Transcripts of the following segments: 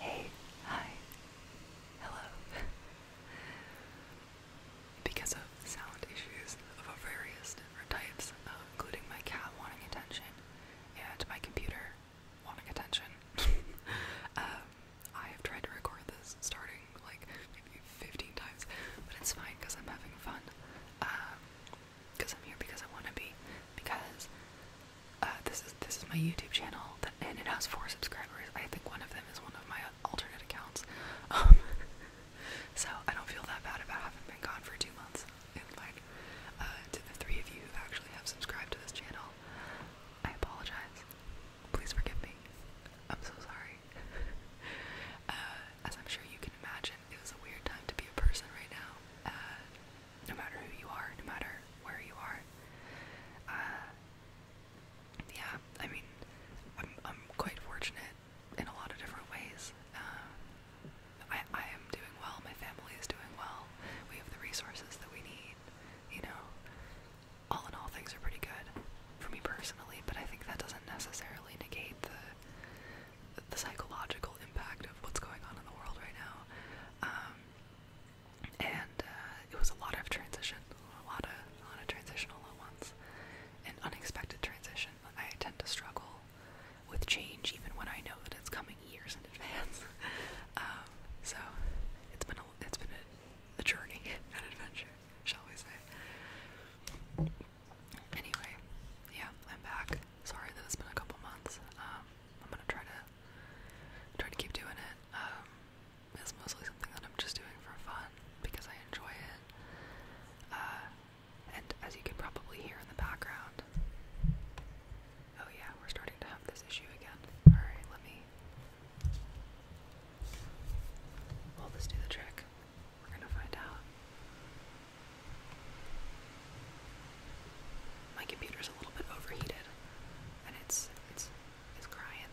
Hey, hi, hello. because of sound issues of various different types, uh, including my cat wanting attention and my computer wanting attention, um, I have tried to record this starting like maybe 15 times, but it's fine because I'm having fun. because um, I'm here because I want to be, because uh, this is this is my YouTube channel, and it has four subscribers. I think one of them is one of my alternate accounts, um, so I don't feel that bad about having been gone for two months. And like uh, to the three of you who actually have subscribed to this channel, I apologize. Please forgive me. I'm so sorry. Uh, as I'm sure you can imagine, it was a weird time to be a person right now no matter who you are, no matter where you are. Uh, yeah, I mean, I'm, I'm quite fortunate in a lot of different ways. Um, I, I am doing well, my family is doing well, we have the resources that we need, you know. All in all, things are pretty good for me personally, but I think that doesn't necessarily negate the the psychological impact of what's going on in the world right now. Um, and uh, it was a lot of transition, a lot of a lot of transition all an unexpected transition. I tend to struggle with change even when I know that it's coming years in advance. Um, so it's been a, it's been a, journey, and adventure, shall we say? Anyway, yeah, I'm back. Sorry that it's been a couple months. Um, I'm gonna try to Trying to keep doing it. Um, it's mostly something that I'm just doing for fun because I enjoy it. Uh, and as you can probably hear in the background, oh yeah, we're starting to have this issue again. Alright, let me. Will this do the trick? We're gonna find out. My computer's a little bit overheated and it's it's it's crying.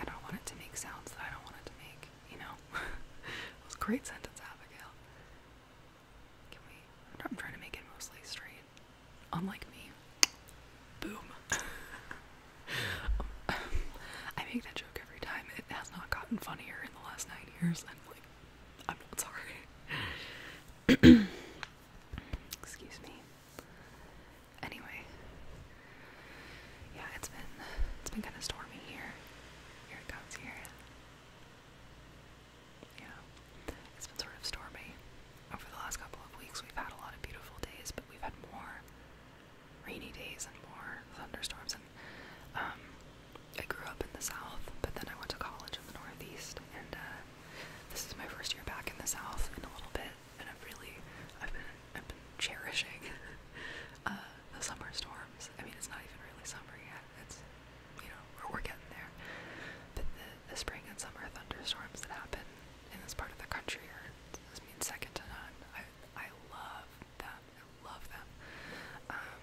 I don't want it to make sounds that I don't want it to make. You know, that was a great sentence, Abigail. Can we? I'm, trying to make it mostly straight. Unlike me. Boom. I make that joke every time. It has not gotten funnier in the last nine years. I'm like, I'm not sorry. Excuse me. Anyway, yeah, it's been it's been kind of stormy here. Here it comes here. Yeah, it's been sort of stormy over the last couple of weeks. We've had a lot of beautiful days, but we've had more rainy days and more thunderstorms. And um, I grew up in the south, but then I went to college in the northeast, and uh, this is my first year back in the South in a little bit, and i am really, I've been, I've been cherishing uh, the summer storms. I mean, it's not even really summer yet. It's, you know, we're, getting there. But the, spring and summer thunderstorms that happen in this part of the country are, I second to none. I, I love them. I love them. Um,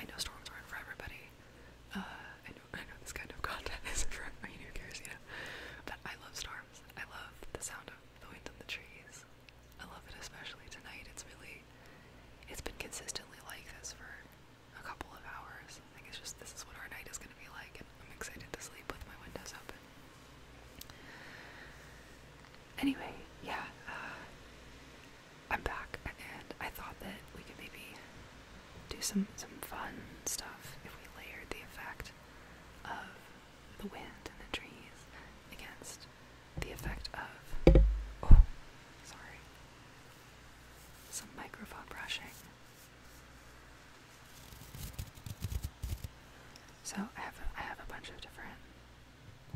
I know storms aren't for everybody, uh, I know, I know this kind of content isn't for everybody who cares, you know, but I love storms. I love the sound of the wind in the trees. I love it especially tonight. It's really, it's been consistently like this for a couple of hours. I think it's just this is what our night is going to be like, and I'm excited to sleep with my windows open. Anyway, yeah, uh, I'm back, and I thought that we could maybe do some some fun stuff if we layered the effect of the wind and the trees against the effect of oh sorry some microphone brushing. So I have a, I have a bunch of different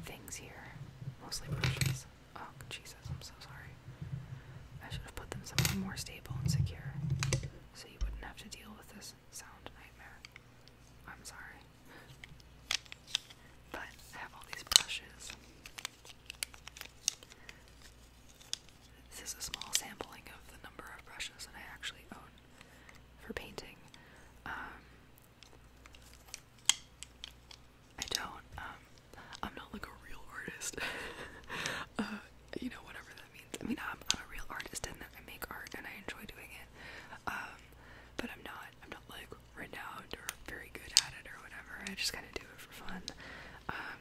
things here, mostly brushes. Oh Jesus, I'm so sorry. I should have put them somewhere more stable and secure so you wouldn't have to deal with this sound nightmare. I'm sorry. But I have all these brushes. This is a small sampling of the number of brushes that I actually own for painting. Um, I don't, um, I'm not like a real artist. Uh, you know, whatever that means. I mean, I'm, i a real artist and I make art and I enjoy doing it. Um, but I'm not, I'm not like renowned or very good at it or whatever. I just kind of do it for fun. Um,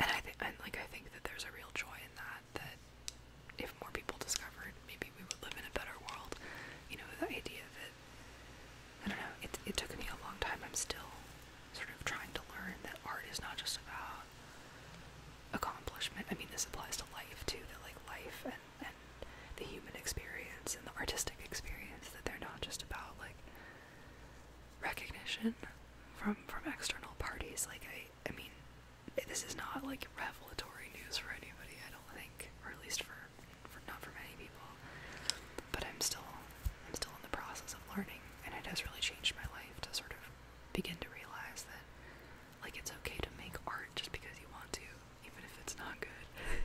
and I think, and like, I think that there's a real joy in that. That if more people discovered, maybe we would live in a better world. You know, the idea that I don't know. It it took me a long time. I'm still sort of trying to learn that art is not just about accomplishment. I mean, this applies to life too, that like life and, and the human experience and the artistic experience, that they're not just about like recognition from from external parties. Like I I mean this is not like revelatory news for anybody, I don't think, or at least for, for not for many people. But I'm still I'm still in the process of learning and it has really changed my life to sort of begin to realize that like it's okay to make art just because you want to, even if it's not good.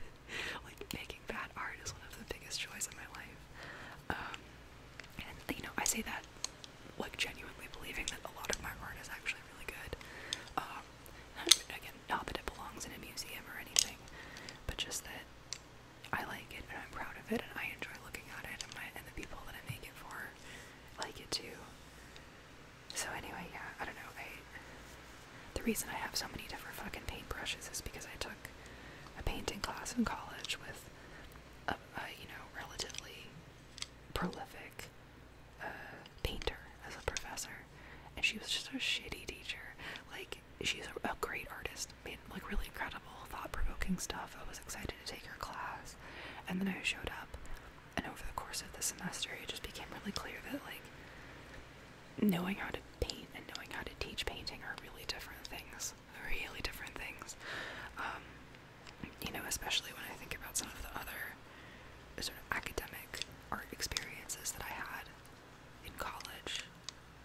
like making bad art is one of the biggest joys in my life. Um, and you know, I say that like genuinely believing that a lot of my art is actually really good. Um, again, not that it belongs in a museum or anything, but just that I like it and I'm proud of it and I enjoy looking at it and, my, and the people that I make it for like it too. So anyway, yeah, I don't know. I the reason I have so many different fucking paintbrushes is because I took a painting class in college with a, a you know relatively prolific uh, painter as a professor, and she was just a shitty teacher. Like she's a, a great artist just made like really incredible, thought-provoking stuff. I was excited to take her class, and then I showed up, and over the course of the semester, it just became really clear that like knowing how to paint and knowing how to teach painting are really different things. Really different things. Um, you know, especially when I think about some of the other sort of academic art experiences that I had in college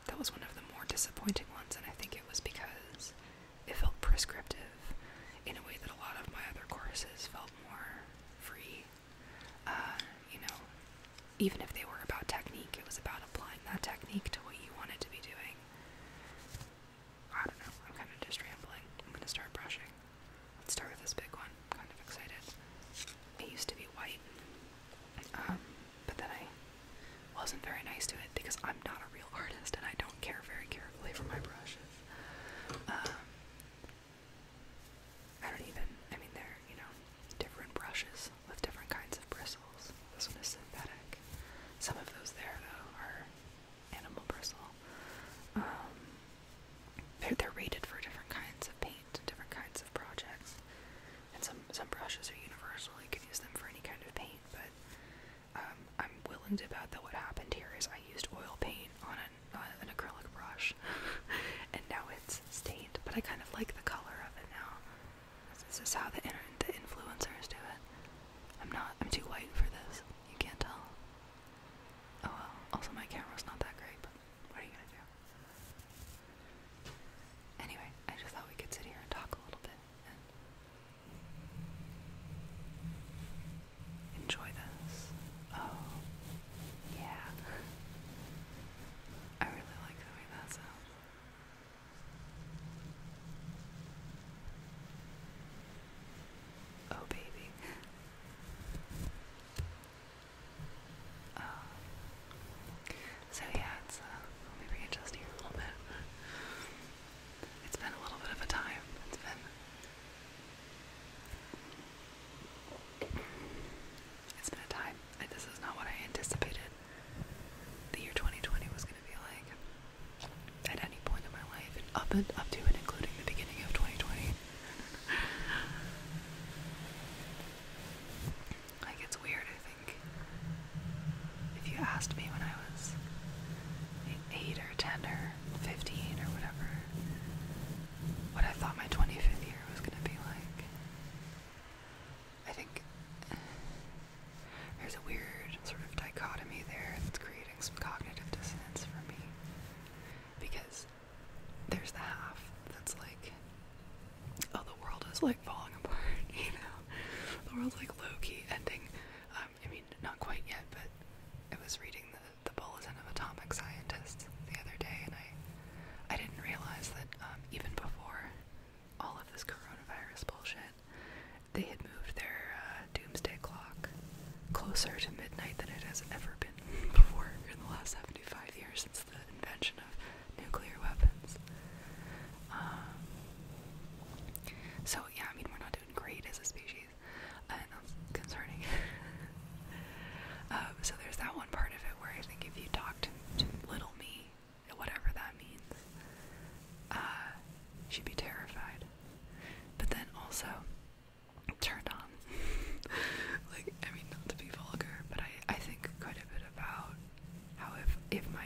that was one of the more disappointing ones, and I think it was because it felt prescriptive in a way that a lot of my other courses felt more free. Uh, you know, even if they were about technique, it was about applying that technique to what you wanted to be doing. I don't know, I'm kind of just rambling. I'm gonna start brushing. Let's start with this big one. I'm kind of excited. It used to be white. Um, but then I wasn't very nice to it because I'm not a real artist and I don't care very carefully for my brushes. Um, I don't even, I mean, they're, you know, different brushes with different kinds of bristles. This one is synthetic. Some of those there, though, are animal bristle. Um, they're, they're rated for different kinds of paint, different kinds of projects. And some, some brushes are universal. You can use them for any kind of paint, but um, I'm willing to bet that what happened here is I used oil paint on an, uh, acrylic brush, and now it's stained. But I kind of like the color of it now. This is how the influencers do it. I'm not. I'm too white for this. You can't tell. Oh well. Also, my camera's not that great. But what are you gonna do? Anyway, I just thought we could sit here and talk a little bit Enjoy this. Oh, yeah. I really like the way that sounds. Oh, baby. Uh, so yeah, it's uh, let me readjust here a little bit. It's been a little bit of a time. It's been. It's been a time. and This is not what I anticipated the year 2020 was going to be like at any point in my life, up and up to and including the beginning of 2020. like it's weird think if you asked me when I was 8 or 10 or 15 or whatever, what I thought my 25th year was going to be like, I think there's a weird sort of dichotomy there that's creating some cognitive dissonance for me. Because there's the half that's like, oh, the world is like, falling apart, you know. The world's like Loki ending. Um, I mean, not quite yet, but I was reading the, Bulletin of Atomic Scientists the other day, and I, I didn't realize that um, even before all of this coronavirus bullshit, they had moved their uh, doomsday clock closer to midnight than it has ever been before in the last 75 years since the invention of nuclear weapons. Um, so yeah, I mean we're not doing great as a species, and uh, that's concerning. um, so there's that one part of it where I think if you talk to, to little me, whatever that means, uh, she'd be terrified. But then also turned on. like I mean, not to be vulgar, but I I think quite a bit about how if if my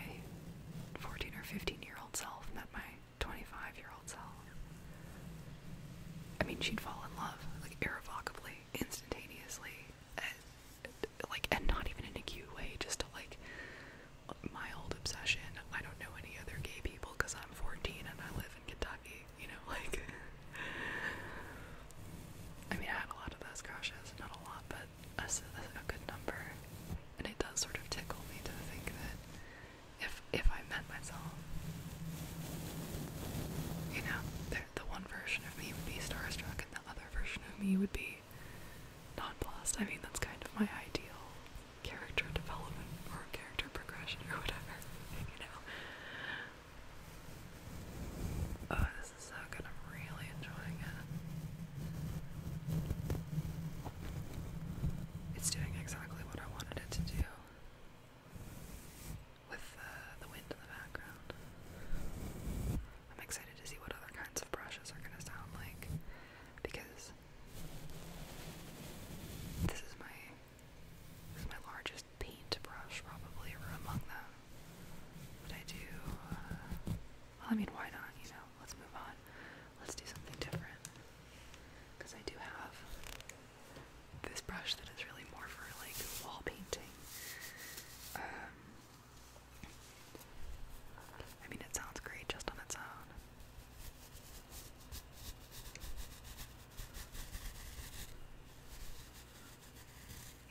14 or 15 year old self met my 25 year old self I mean she'd fall in love like irrevocably instantaneously and, like and not even in a cute way just to like my old obsession I don't know any other gay people because I'm 14 and I live in Kentucky you know like I mean I had a lot of those crushes not a lot but a, a good number, and it does sort of tickle me to think that if if I met myself, you know, the, the one version of me would be starstruck, and the other version of me would be nonplussed. I mean, that's kind of my ideal character development or character progression or whatever, you know. Oh, this is so good. I'm really enjoying it. It's doing exactly what I wanted it to do with uh, the wind in the background. I'm excited to see what other kinds of brushes are going to sound like because this is my this is my largest paint probably among them. But I do uh, I mean, why not? You know, let's move on. Let's do something different. Because I do have this brush that is really more for like wall painting. Um, I mean, it sounds great just on its own.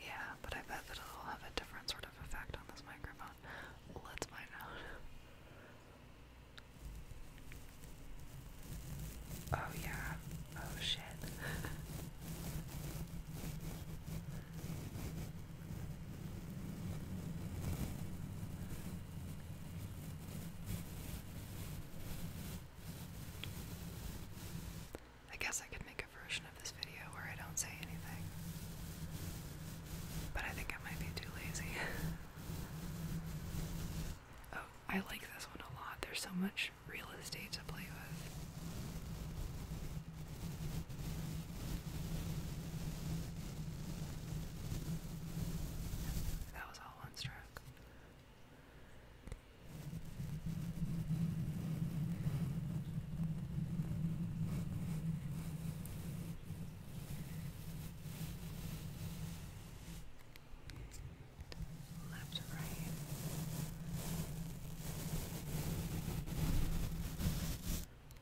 Yeah, but I bet that it'll have a different sort effect on this microphone. Let's find out. Oh, yeah. Oh, shit. I guess I could make a version of this video where I don't say anything. But I think I might be too lazy. oh, I like this one a lot. There's so much real estate to play with. That was all one stroke left to right.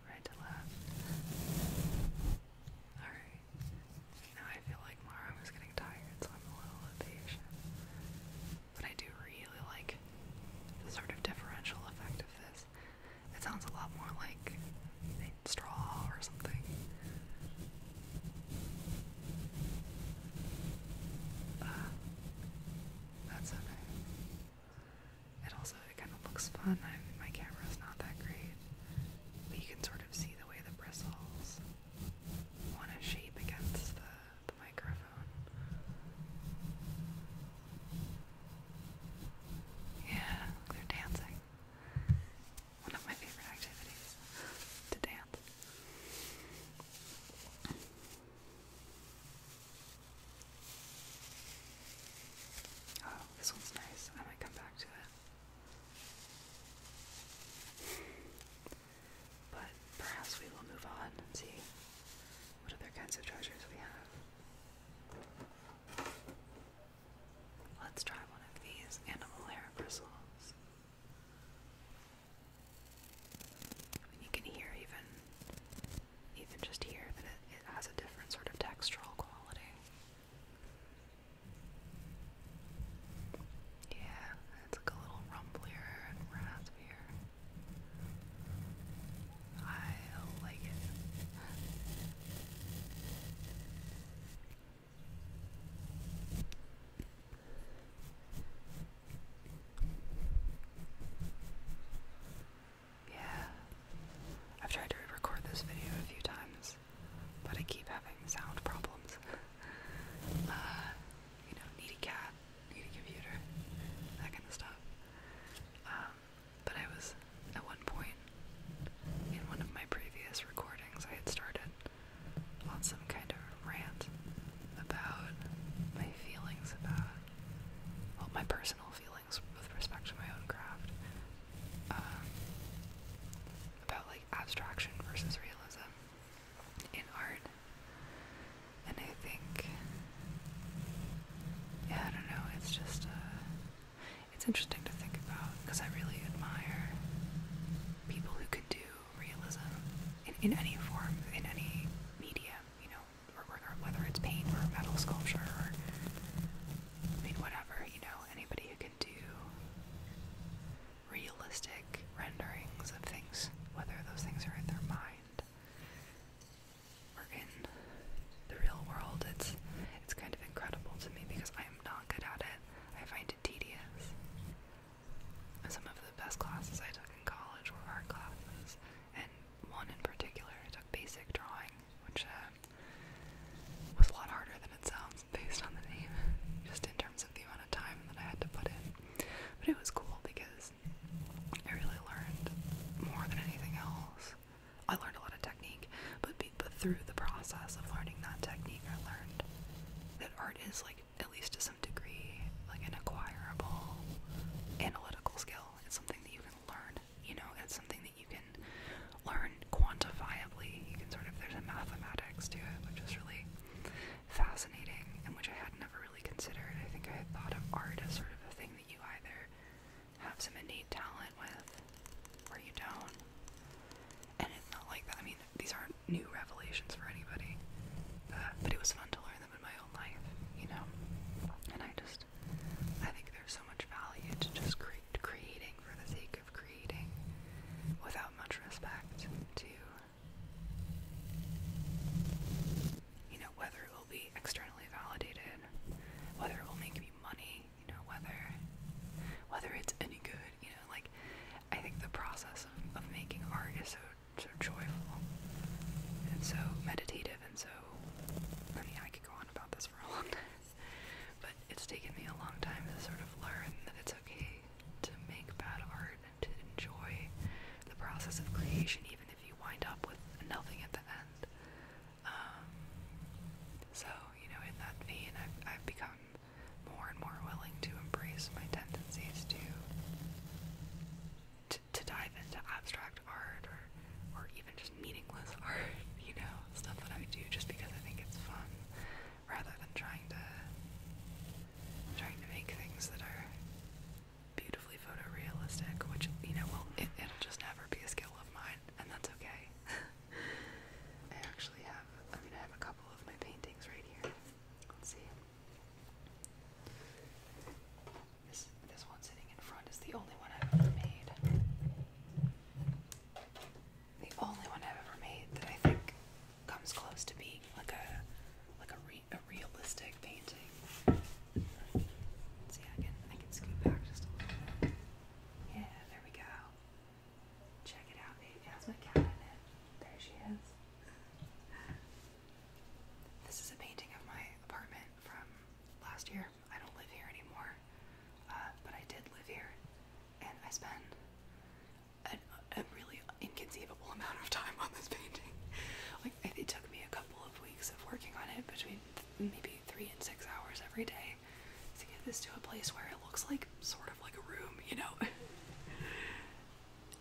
Right to left. Alright. Now I feel like Mara was getting tired, so I'm a little impatient. But I do really like the sort of differential effect of this. It sounds a lot more like straw or something. Ah, that's okay. It also it kind of looks fun. I mean, my not that great, but you can sort of see the way the bristles want to shape against the, the microphone. Yeah, look, they're dancing. One of my favorite activities to dance. Oh, this one's nice. I might come back to it. But perhaps we will move on and see what other kinds of treasures we have. Let's try one of these animal hair bristles. you can hear even, even just here that it, has a different sort of textural quality. Yeah, it's like a little rumblier and raspier. I like it. Yeah. I've tried to record this video a few times, but I keep having sound problems. Uh, you know, need cat, need computer, that kind of stuff. Uh, but I was at one point in one of my previous recordings, I had started on some kind of rant about my feelings about, well, my personal feelings with respect to my own craft, um, about like abstraction versus realism in art. And I think, yeah, I don't know, it's just uh, it's interesting to think about because I really admire people who can do realism in, any form, in any medium, you know, whether it's paint or metal sculpture or, I mean, whatever, you know, anybody who can do realistic renderings of things, whether those things are in their mind we're in the real world. It's it's kind of incredible to me because I am not good at it. I find it tedious. Some of the best classes I took in college were art classes, and one in particular, I took basic drawing, which uh, was a lot harder than it sounds based on the name, just in terms of the amount of time that I had to put in. But it was cool because I really learned more than anything else I learned a lot of technique, but be, but through the process of learning that technique, I learned that art is like at least to some degree like an acquirable analytical skill. It's something that you can learn, you know. It's something that you can learn quantifiably. You can sort of there's a mathematics to it, which is really fascinating and which I had never really considered. I think I had thought of art as sort of a thing that you either have some innate talent with, where you don't. And it's not like that. I mean, these aren't new revelations for anybody. Uh, but it was fun to learn them in my own life, you know? And I just, I think there's so much value to just cre creating for the sake of creating without much respect to, you know, whether it will be externally validated, whether it will make me money, you know, whether whether it's any good, you know, like I think the process of, of making art is so so joyful and so meditative and so I mean I could go on about this for a long time. But it's taken me a long time to sort of learn that it's okay to make bad art and to enjoy the process of creation even if you wind up with nothing at the end. Um, so, you know, in that vein, I've, I've become more and more willing to embrace my tendencies to, to dive into abstract art or or even just meaningless art, you know, stuff that I do just because I think it's fun, rather than trying to trying to make things that are beautifully photorealistic, which you know, well, it'll just never be a skill of mine, and that's okay. I actually have, I mean, I have a couple of my paintings right here. Let's see. This, this one sitting in front is the only one I've ever made. The only one I've ever made that I think comes close to being like a like a, a realistic painting. Let's see, I can I can scoot back yeah, there we go. Check it out, baby. How's my cat There she is. This is a painting of my apartment from last year. I don't live here anymore, uh, but I did live here, and I spent a really inconceivable amount of time on this painting. like it took me a couple of weeks of working on it, between maybe three and six hours every day, to get this to a place where it looks like sort of like a room, you know.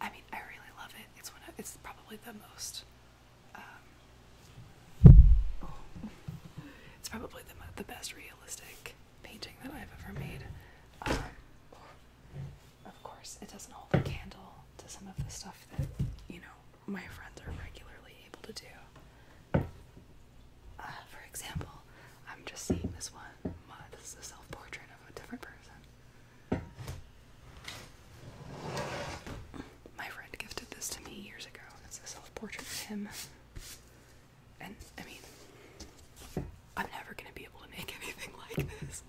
I mean, I really love it. It's one of, it's probably the most um, it's probably the the best realistic painting that I've ever made. Um, of course, it doesn't hold a candle to some of the stuff that, you know, my friends are regularly able to do. Uh, for example, I'm just seeing this one. This is a self portrait of a different person. My friend gifted this to me years ago. This is a self portrait of him. And I mean, I'm never going to be able to make anything like this.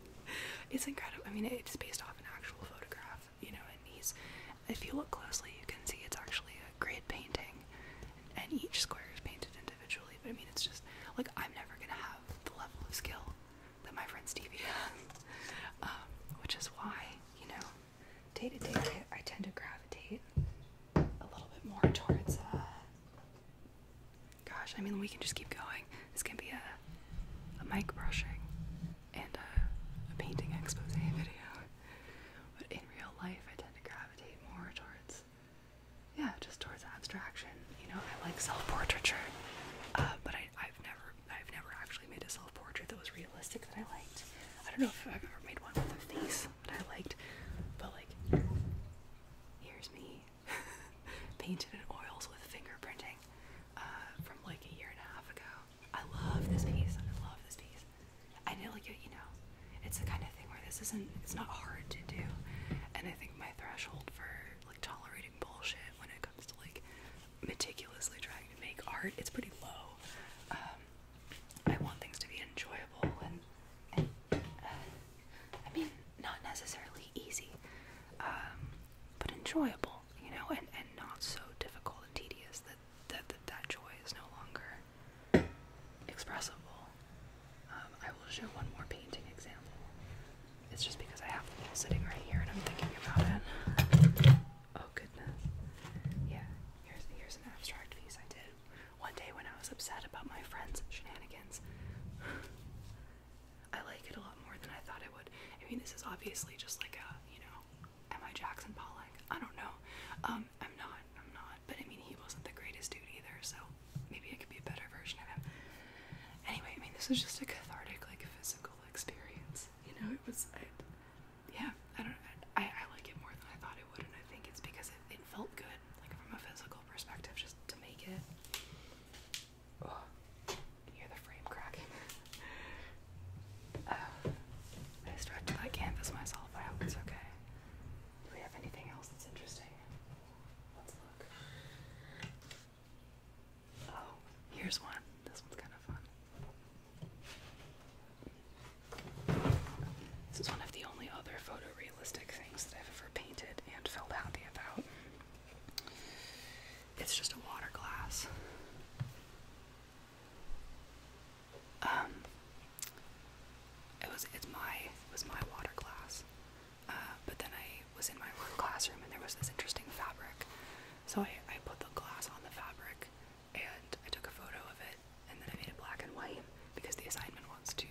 It's incredible. I mean, it's based off an actual photograph, you know, and he's if you look closely, you can see it's actually a grid painting, and each square is painted individually. But I mean, it's just like I'm never gonna have the level of skill that my friend Stevie has, um, which is why you know, day to day, I tend to gravitate a little bit more towards. Uh, Gosh, I mean, we can just keep going. This can be a, a mic brushing and a, a painting expose video. But in real life, I tend to gravitate more towards, yeah, just towards abstraction. You know, I like self-portraiture, uh, but I, I've never, I've never actually made a self-portrait that was realistic that I liked. I don't know if I've ever made one with a face that I liked, but like, here's me painted in oils with fingerprinting uh, from like a year and a half ago. I love this piece. I love this piece. I nail you, you know. It's the kind of thing where this isn't it's not hard to do. And I think my threshold for like tolerating bullshit when it comes to like meticulously trying to make art, it's pretty low. Um I want things to be enjoyable and, and uh, I mean not necessarily easy. Um but enjoyable, you know, and, and not so difficult and tedious that that that joy is no longer expressible. Um, I will show one more painting example. It's just because I have the bowl sitting right here and I'm thinking about it. Oh goodness. Yeah, here's here's an abstract piece I did one day when I was upset about my friend's shenanigans. I like it a lot more than I thought I would. I mean, this is obviously just like a, you know, Am I Jackson Pollock? I don't know. Um, I'm not. I'm not. But I mean, he wasn't the greatest dude either, so maybe I could be a better version of him. Anyway, I mean, this was just a cathartic, like, physical experience. You know, it was. yeah, I don't. I, I like it more than I thought it would, and I think it's because it, it felt good, like from a physical perspective, just to make it. Oh, hear the frame cracking. Uh, I stretched that canvas myself. I hope it's okay. Do we have anything else that's interesting? Let's look. Oh, here's one. This one's kind of fun. This is one of the only other photorealistic things that I've ever painted and felt happy about. It's just a water glass. Um, it was it's my it was my water glass, uh, but then I was in my work classroom and there was this interesting fabric, so I, I put the glass on the fabric and I took a photo of it and then I made it black and white because the assignment wants to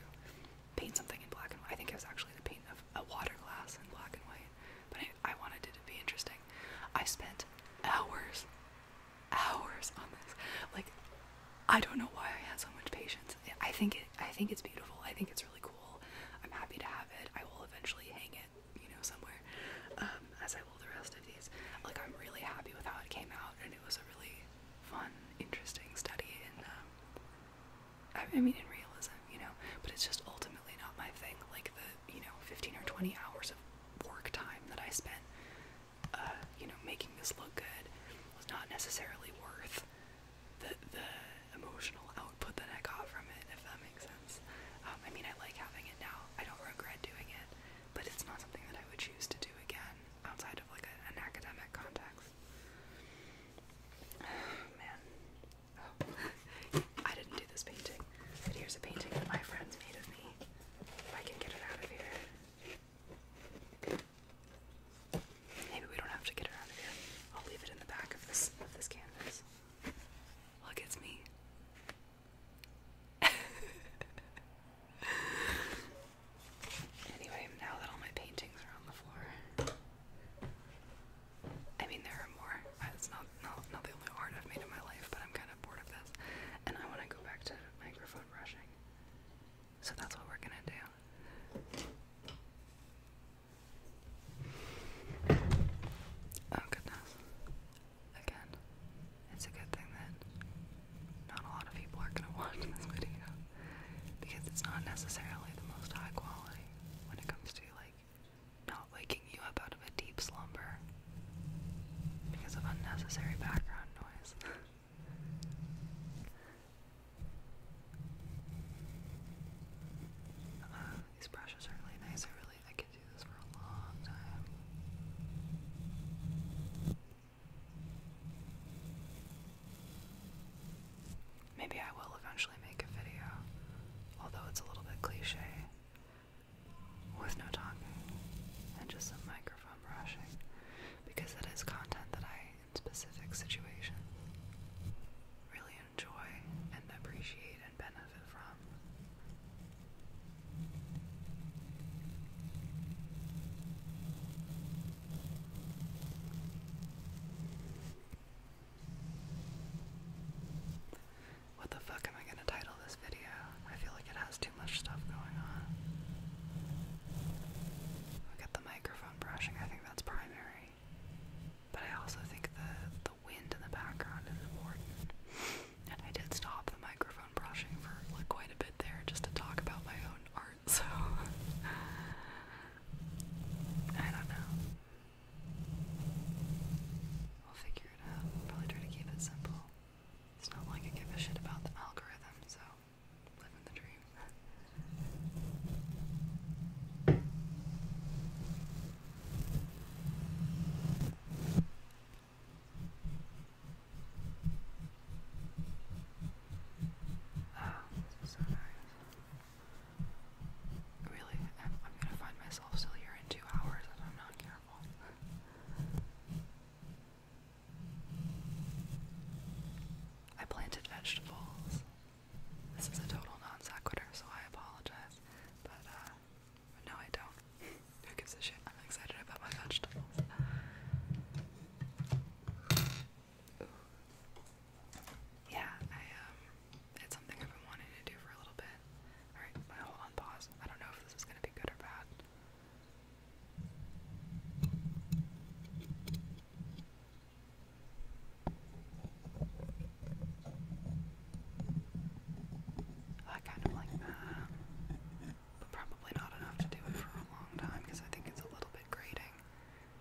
paint something in black and white. I think it was actually the paint of a water glass in black and white, but I, I wanted it to be interesting. I spent hours hours on this. Like, I don't know why I had so much patience. I think it. I think it's beautiful. I think it's really cool. I'm happy to have it. I will eventually hang it, you know, somewhere, um, as I will the rest of these. Like, I'm really happy with how it came out, and it was a really fun, interesting study. And um, I, I mean, in realism, you know, but it's just ultimately not my thing. Like the, you know, 15 or 20 hours of work time that I spent uh, you know, making this look good was not necessarily worth the the emotional output that I got from it, if that makes sense. Um, I mean, I like having it now. I don't regret doing it, but it's not something that I would choose to do again outside of like an academic context. man, oh. I didn't do this painting, but here's a painting that my friends made of me. If I can get it out of here. Maybe we don't have to get her out of here. I'll leave it in the back of this of this canvas. Look, it's me. anyway, now that all my paintings are on the floor. I mean, there are more. It's not, not, not the only art I've made in my life, but I'm kind of bored of this. And I want to go back to microphone brushing. So that's what we're gonna do. Oh goodness. Again, it's a good thing that not a lot of people are gonna watch this video because it's not necessarily the most high quality when it comes to like not waking you up out of a deep slumber because of unnecessary background noise. Uh, these brushes are really nice. I really I can do this for a long time. Maybe I will eventually make a video, although it's a little bit cliche, with no talking and just some micro from rushing because it is content that I, in specific situations, really enjoy and appreciate and benefit from. What the fuck am I gonna title this video? I feel like it has much stuff going on. Look at the microphone brushing, I think that's primary. But I also think the, the wind in the background is important. And I did stop the microphone brushing for quite a bit there just to talk about my own art, so I don't know. We'll figure it out. Probably try to keep it simple. It's not like I give a shit about the algorithm, so Living the dream. this oh, is so nice. Really, I'm, I'm gonna find myself still here in two hours if I'm not careful. I planted vegetables. This is a total non sequitur, so I apologize. But, uh, no, I don't. Who gives a shit? I'm excited about my vegetables. Yeah, um, it's something I've been wanting to do for a little bit. Alright, hold on, pause. I don't know if this is gonna be good or bad. I kind of like that, but probably not enough to do it for a long time because I think it's a little bit grating.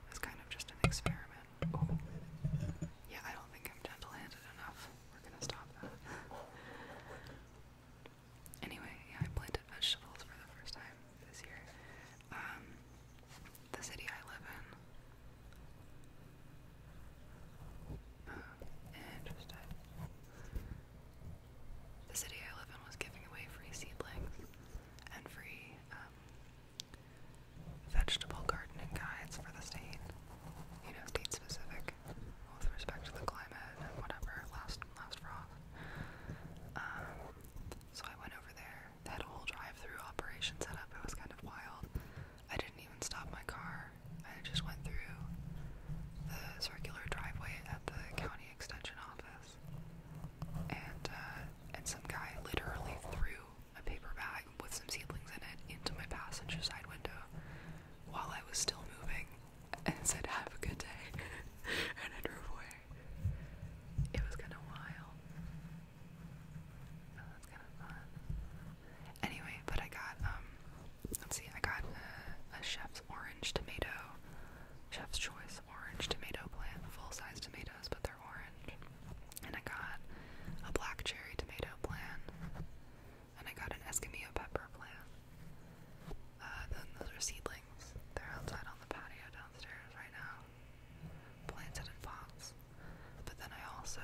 It's kind of just an experiment. Yeah, I don't think I'm gentle handed enough. We're gonna stop that. Anyway, I planted vegetables for the first time this year. Um, the city I live in. Oh, the city I live in was giving away free seedlings and free um, vegetable gardening guides for the state. You know, state specific with respect to the climate and whatever last loves frogs. Um, so I went over there. They had a whole drive-through operation set up. It was kind of wild. I didn't even stop my car. I just went through the circular driveway at the county extension office, and uh, and some guy literally threw a paper bag with some seedlings in it into my passenger side window while I was still moving and said, Have a good day. and I drove away. It was kind of wild. That was kind of fun. Anyway, but I got, um, let's see, I got a, chef's orange tomato, chef's choice orange tomato plant, full size tomatoes, but they're orange. And I got a black cherry tomato plant, and I got an Escamillo pepper plant. Uh, then those are seedlings. They're outside on the patio downstairs right now, planted in pots. But then I also,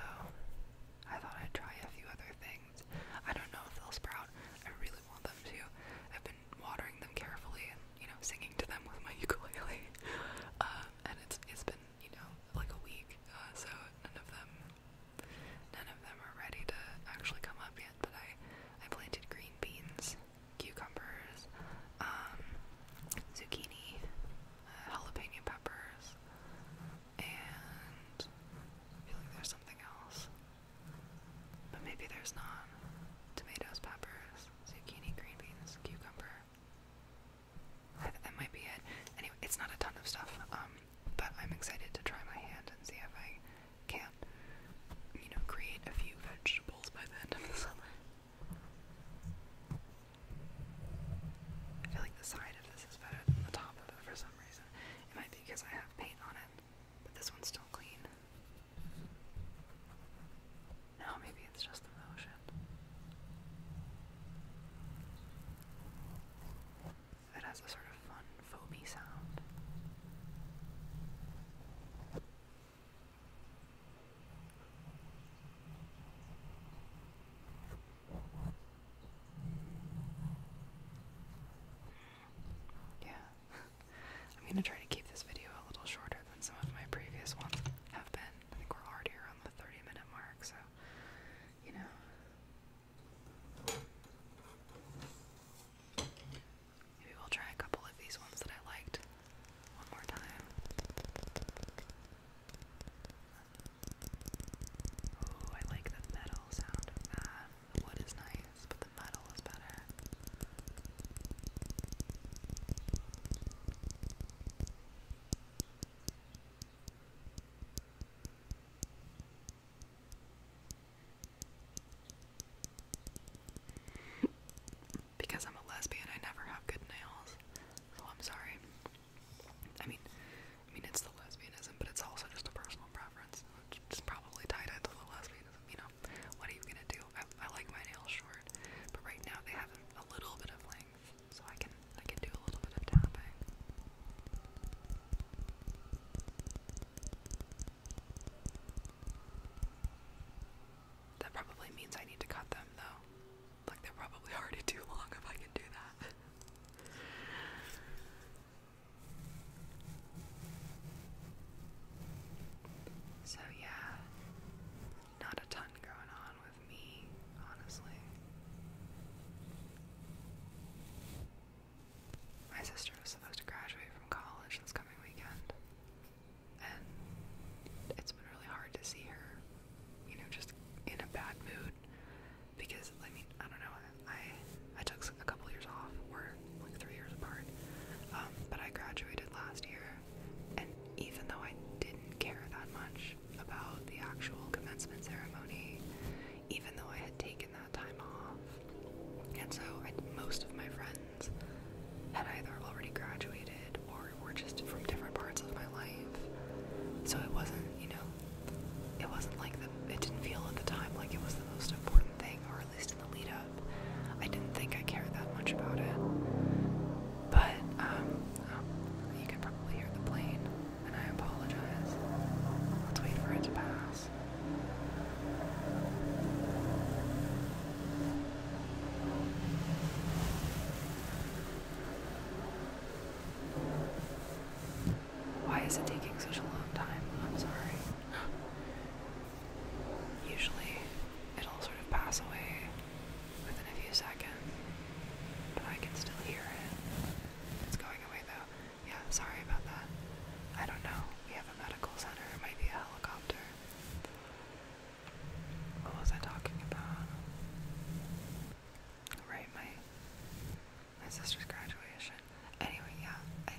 I thought I'd try a few other things. I don't know if they'll sprout. I really want them to. I've been watering them carefully and you know singing to them with my ukulele, um, and it's it's been you know like a week, uh, so none of them none of them are ready to actually come up yet. But I I planted green beans cucumbers, um, zucchini, uh, jalapeno peppers, and I feel like there's something else. But maybe there's not. Tomatoes, peppers, zucchini, green beans, cucumber. that might be it. Anyway, it's not a ton of stuff, um, but I'm excited to try my hand and see if I can, you know, create a few vegetables by the end of the summer. I feel like the side of this is better than the top of it for some reason. It might be because I have paint on it, but this one's still clean. No, maybe it's just the motion. It has a sort of fun foamy sound. Yeah. I'm going to try to keep this video a little shorter than some of my previous ones have been. I think we're already around the 30 minute mark, so, you know. Maybe we'll try a couple of these ones that I liked one more time. Ooh, I like the metal sound of that. The wood is nice, but the metal is better. Because I'm a lesbian, I never have good nails. So I'm sorry. I mean, I mean it's the lesbianism, but it's also just a personal preference. which is probably tied into the lesbianism, you know. What are you gonna do? I like my nails short, but right now they have a little bit of length, so I can I can do a little bit of tapping. That probably means I need to cut them though. Like they're probably already too long if I can do that. so yeah, not a ton going on with me, honestly. My sister was supposed to graduate from college this coming weekend and it's been really hard to see her, you know, just in a bad mood because I mean I don't know I I took a couple years off or like three years apart, um, but I graduated last year, and even though I didn't care that much about the actual commencement ceremony, even though I had taken that time off and so most of my friends had either already graduated or were just from different parts of my life. So it wasn't, you know, it wasn't like the, it didn't feel at the time like it was the most important thing, or at least in the lead up. I didn't think I cared that much about it. But, um, oh, you can probably hear the plane, and I apologize. Let's wait for it to pass. Why is it taking such a long time? I'm sorry. Usually it'll sort of pass away within a few seconds, but I can still hear it. It's going away though. Yeah, sorry about that. I don't know. We have a medical center, it might be a helicopter. What was I talking about? Right, my my sister's graduation. Anyway, yeah, I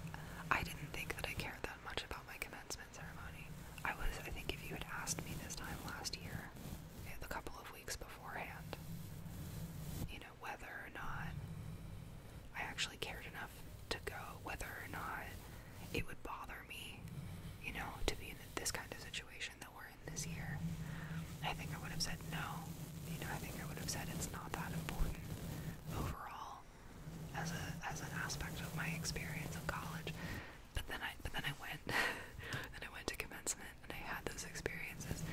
I didn't think that I cared that much about my commencement ceremony. I was, I think, if you had asked me this time last year, a eh, couple of weeks beforehand, you know, whether or not I actually cared enough to go, whether or not it would bother me, you know, to be in this kind of situation that we're in this year. I think I would have said no. You know, I think I would have said it's not that important overall as a as an aspect of my experience of college. But then I but then I went then I went to commencement and I had those experiences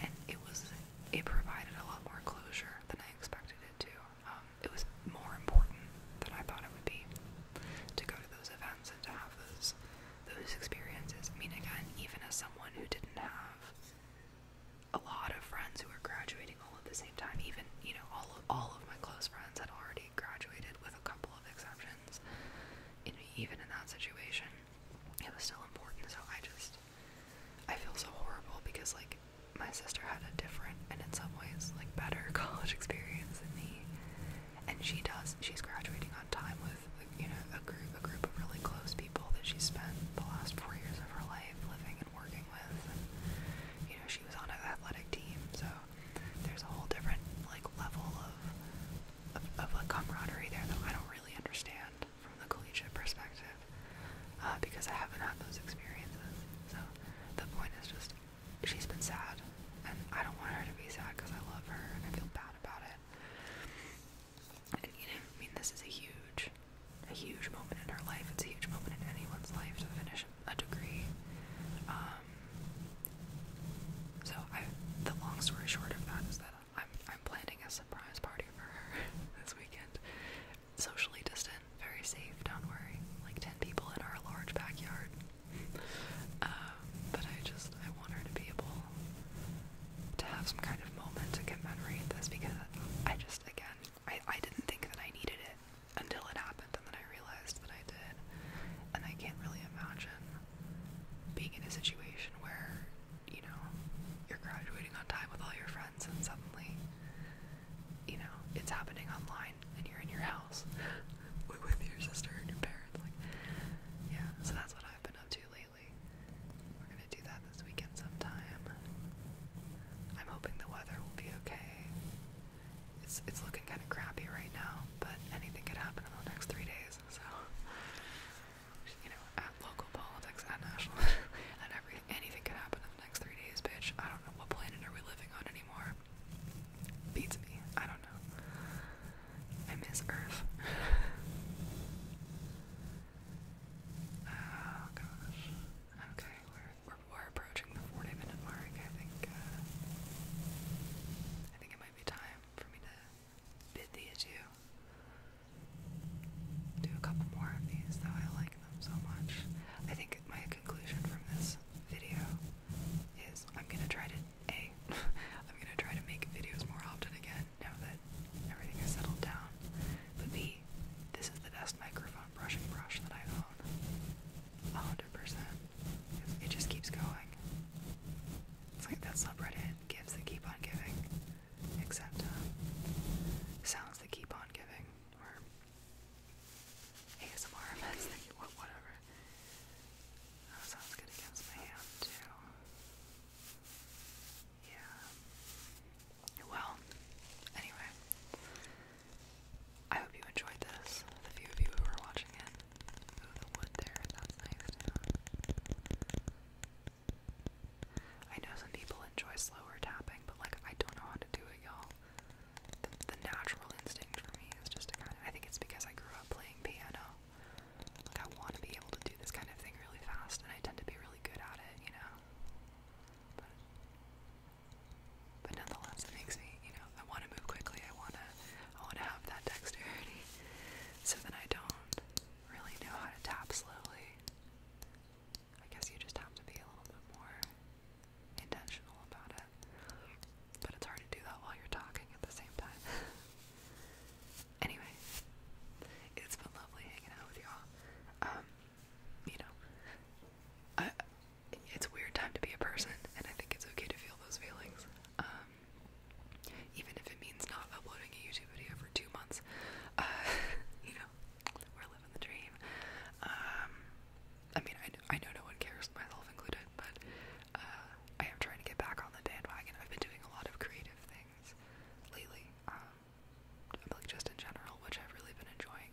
and it was it provided a lot more closure than I expected it to. Um, it was more important than I thought it would be to go to those events and to have those those experiences. I mean, again, even as someone who didn't have a lot of friends who were graduating all at the same time, even you know, all of, all of my close friends had already graduated, with a couple of exceptions. even in that situation, it was still important. So I just I feel so horrible because like my sister had a different and in some ways like better college experience than me. And she does she's graduating on time with you know a group a group of really close people that she spent the last four years of her life living and working with. And you know, she was on an athletic team, so there's a whole different like level of of, of like camaraderie there that I don't really understand from the collegiate perspective. Uh, because I haven't had those experiences. So the point is just she's been sad, and I don't want her to be sad because I love her and I feel bad about it. you know, I mean, this is a huge, a huge moment in her life. It's a huge moment in anyone's life to finish a degree. Um, so the long story short of that is that I'm I'm planning a surprise party for her this weekend, socially distant, very safe, don't worry. Like 10 people in our large backyard. Um, but I just, I want her to be able to have some kind of moment to commemorate this because I just, again, I, I didn't think that I needed it until it happened and then I realized that I did. And I can't really imagine being in a situation where, you know, you're graduating on time with all your friends and suddenly you know, it's happening online and you're in your house with your sister and your parents. Like, yeah, so that's what I've been up to lately. We're gonna do that this weekend sometime. I'm hoping the weather will be okay. It's it's looking kind of crappy right now, but anything could happen in the next three days. So you know, at local politics, at national, and every anything could happen next three days, bitch. I don't know what planet are we living on anymore. Beats me. I don't know. I miss Earth. oh gosh. Okay, we're, we're approaching the 40 minute mark. I think uh, I think it might be time for me to bid the adieu. Do a couple more of these though. I like them so much. I think my conclusion from this video is I'm gonna try to A I'm gonna try to make videos more often again now that everything is settled down. But B, this is the best microphone brushing brush that I own. hundred percent. It just keeps going. It's like that subreddit gives that keep on giving. Except uh, sounds that keep on giving ASMR meds whatever. That sounds good against my hand, too. Yeah. Well, anyway. I hope you enjoyed this. The few of you who are watching it. Ooh, the wood there. That's nice, I know some people enjoy slower tapping, but like I don't know how to do it, y'all the, the natural instinct for me is just to kind of. I think it's because I grew up playing piano. Like I want to be able to do this kind of thing really fast, and I tend to be really good at it, you know. But, but nonetheless, it makes me, you know, I want to move quickly. I wanna, I wanna have that dexterity, so then I don't really know how to tap slowly. I guess you just have to be a little bit more intentional about it. But it's hard to do that while you're talking at the same time. anyway, it's been lovely hanging out with y'all. Um, you know, I, it's a weird time to be a person, and I think it's okay to feel those feelings. Um, even if it means not uploading a YouTube video for two months, uh, you know, we're living the dream. Um, I mean, I, I know no one cares, myself included, but uh, I am trying to get back on the bandwagon. I've been doing a lot of creative things lately, um, like just in general, which I've really been enjoying.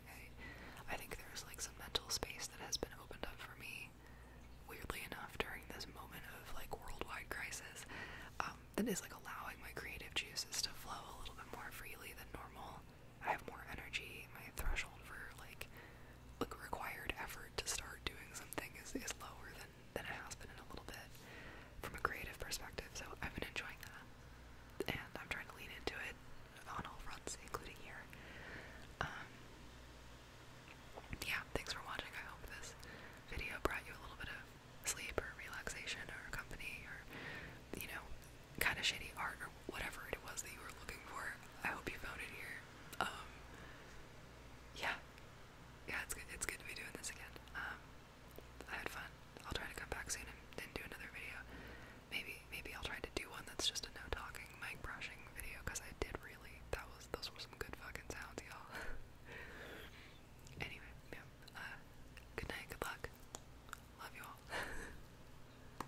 I, think there's like some mental space that has been opened up for me, weirdly enough, during this moment of like worldwide crisis, um, that is like allowing my creative juices to flow a little bit more freely than normal. I have more energy. My threshold for like like required effort to start doing something is, is lower than than it has been in a little bit from a creative perspective. So I've been enjoying that, and I'm trying to lean into it on all fronts, including here. Um, yeah, thanks for watching. I hope this video brought you a little bit of sleep or relaxation or company or you know kind of shitty art or whatever it was that you were looking for. I hope you found it here. Um, yeah, yeah, it's good. It's good to be doing this again. Um, I had fun. I'll try to come back soon and do another video. Maybe, maybe I'll try to do one that's just a no talking, mic brushing video because I did really. That was those were some good fucking sounds, y'all. anyway, yeah. Uh, good night. Good luck. Love you all.